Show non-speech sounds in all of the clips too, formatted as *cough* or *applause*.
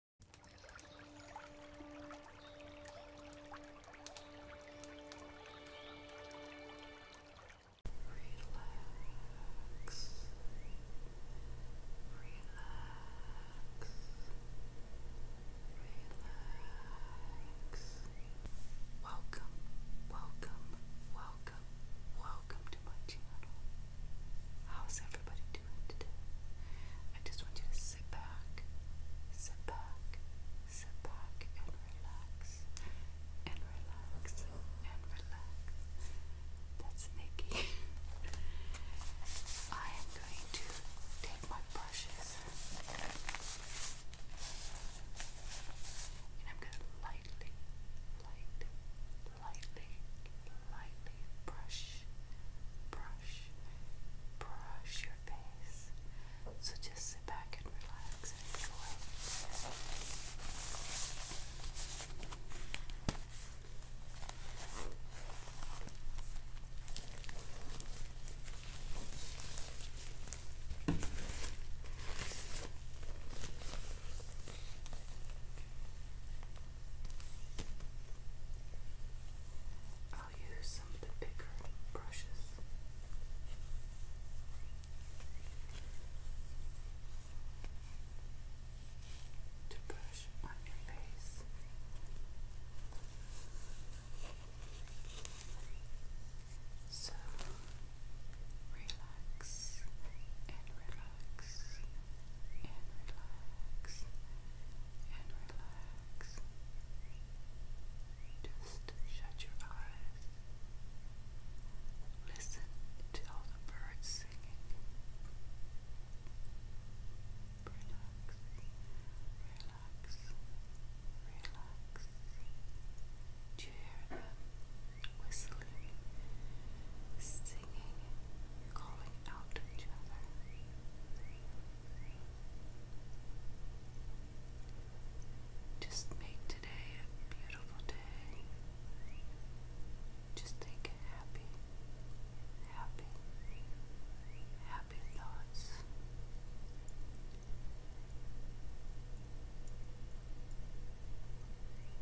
Relax. Relax. Relax. Welcome, welcome, welcome, welcome to my channel. How's everybody doing today? I just want you to sit back, sit back, sit back, and relax, and relax, and relax. That's Nikki. *laughs* I am going to take my brushes and I'm going to lightly, light, lightly, lightly brush, brush, brush your face. So just sit back and relax and enjoy. I'll use some bigger brushes. To brush on your face. So relax and relax relax and relax and relax. Just shut your eyes. Listen to all the birds singing. Relax, relax, relax. Do you hear them whistling, singing, calling just make today a beautiful day. Just think happy, happy, happy thoughts.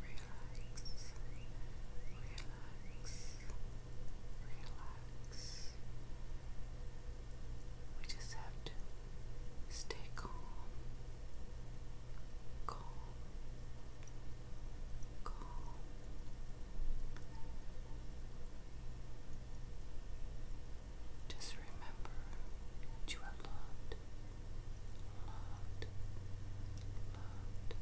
relax, relax relax. We just have to stay calm, calm, calm. Just remember you are loved, loved, loved.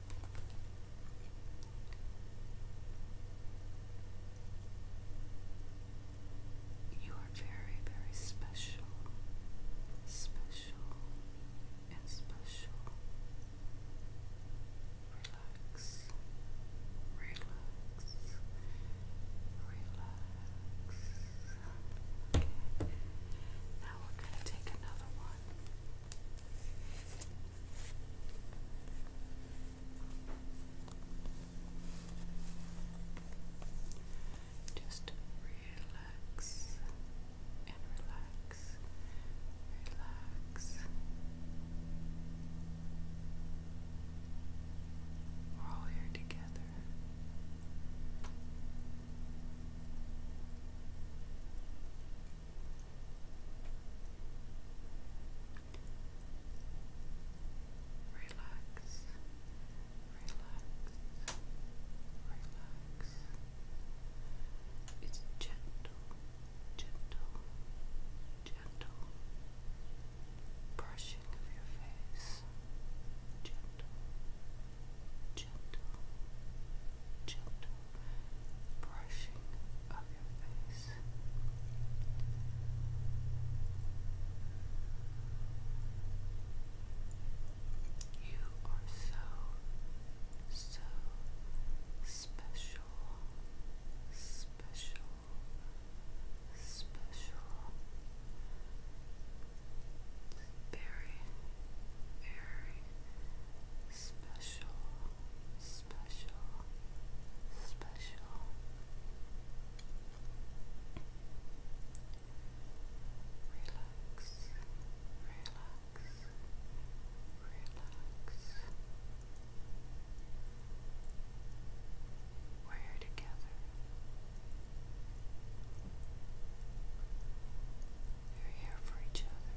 You are very, very special, special, and special. Relax, relax, relax. Now we're going to take another one. Just relax and relax, relax. We're all here together. Relax, relax, relax. It's gentle, gentle, gentle brushing of your face. Gentle, gentle, gentle brushing of your face. You are so, so special, special, special. Very, very, special, special, special. Relax, relax, relax. We're together. You're here for each other.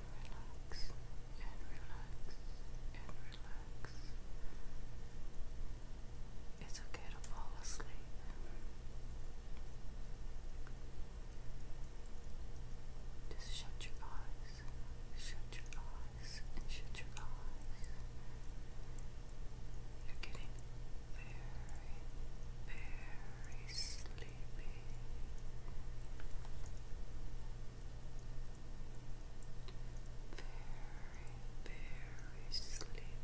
relax and relax and relax. It's okay to fall asleep. Just shut your eyes, shut your eyes, and shut your eyes. You're getting very, very sleepy very, very sleepy.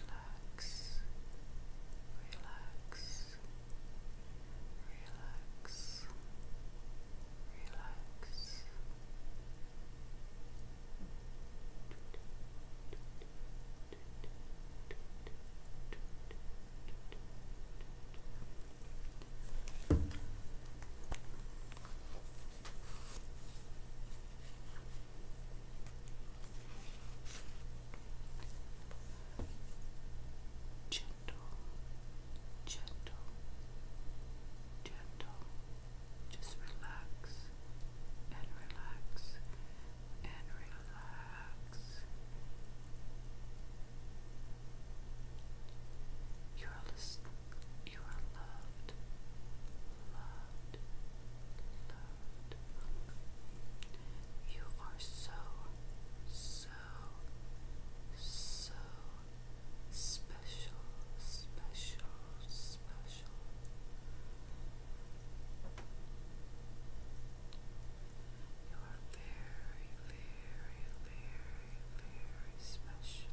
Relax, relax, relax, relax. Gentle, gentle, gentle. Just relax and relax and relax. You are listening. You are loved, loved, loved. You are so, so, so special, special, special. You are very, very, very, very special.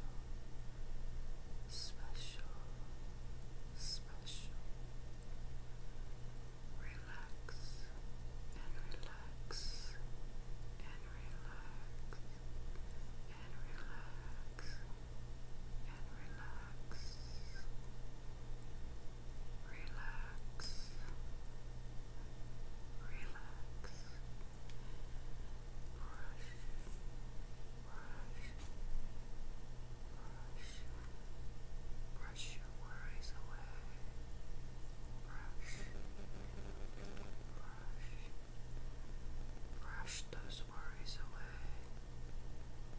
Special, special. Relax and relax and relax and relax and relax relax, relax, brush, brush, brush, brush your worries away, brush, brush, brush those worries away.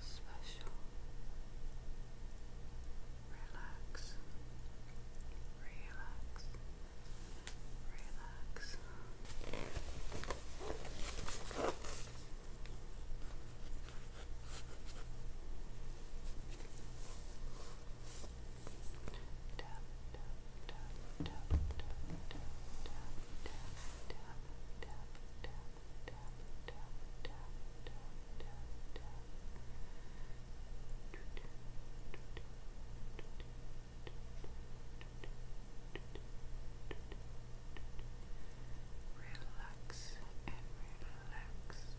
special, relax, relax, relax. Tap, tap, tap, tap, tap, tap, tap, tap, tap, Relax and relax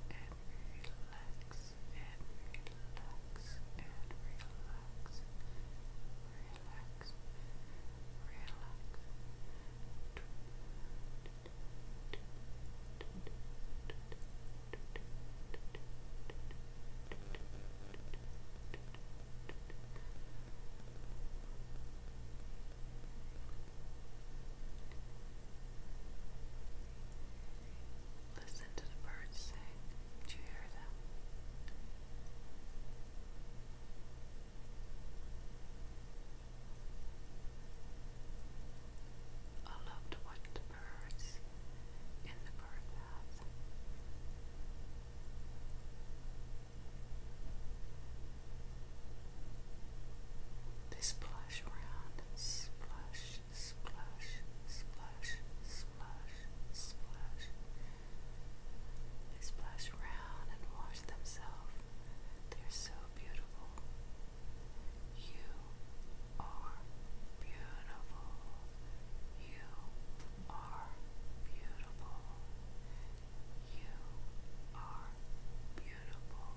and relax and relax and relax. Relax. Relax. Listen to the birds sing. Do you hear them? I love to birds in the bird They splash around and splash, splash, splash, splash, splash. They splash around and wash themselves they're so beautiful. You are beautiful. You are beautiful. You are beautiful.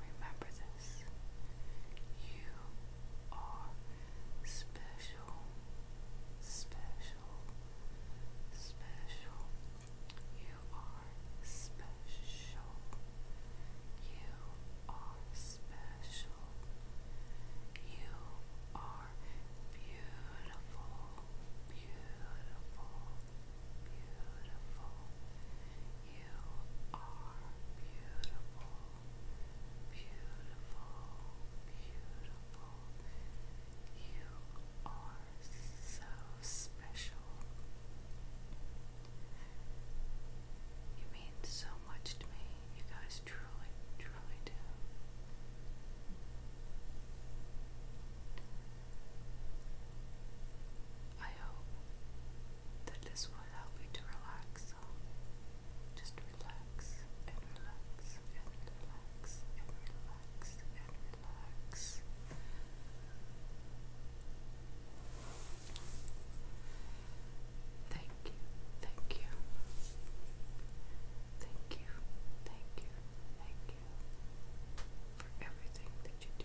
Remember this. You are special, special, special. You are special. You are special. You are beautiful, beautiful, beautiful. You are beautiful, beautiful, beautiful. You are so special. You mean so much to me. You guys truly, truly do. I hope that this will help you to relax. Um, just relax and relax and relax and relax and blocks. Thank you, thank you. Thank you, thank you, thank you for everything that you do.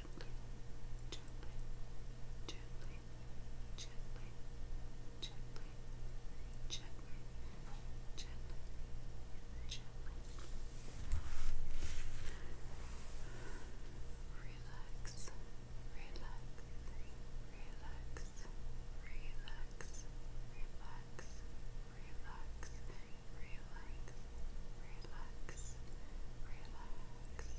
gently, gently, gently, gently, gently, gently, gently, gently. Relax, relax, relax, relax, relax, relax, relax, relax, relax.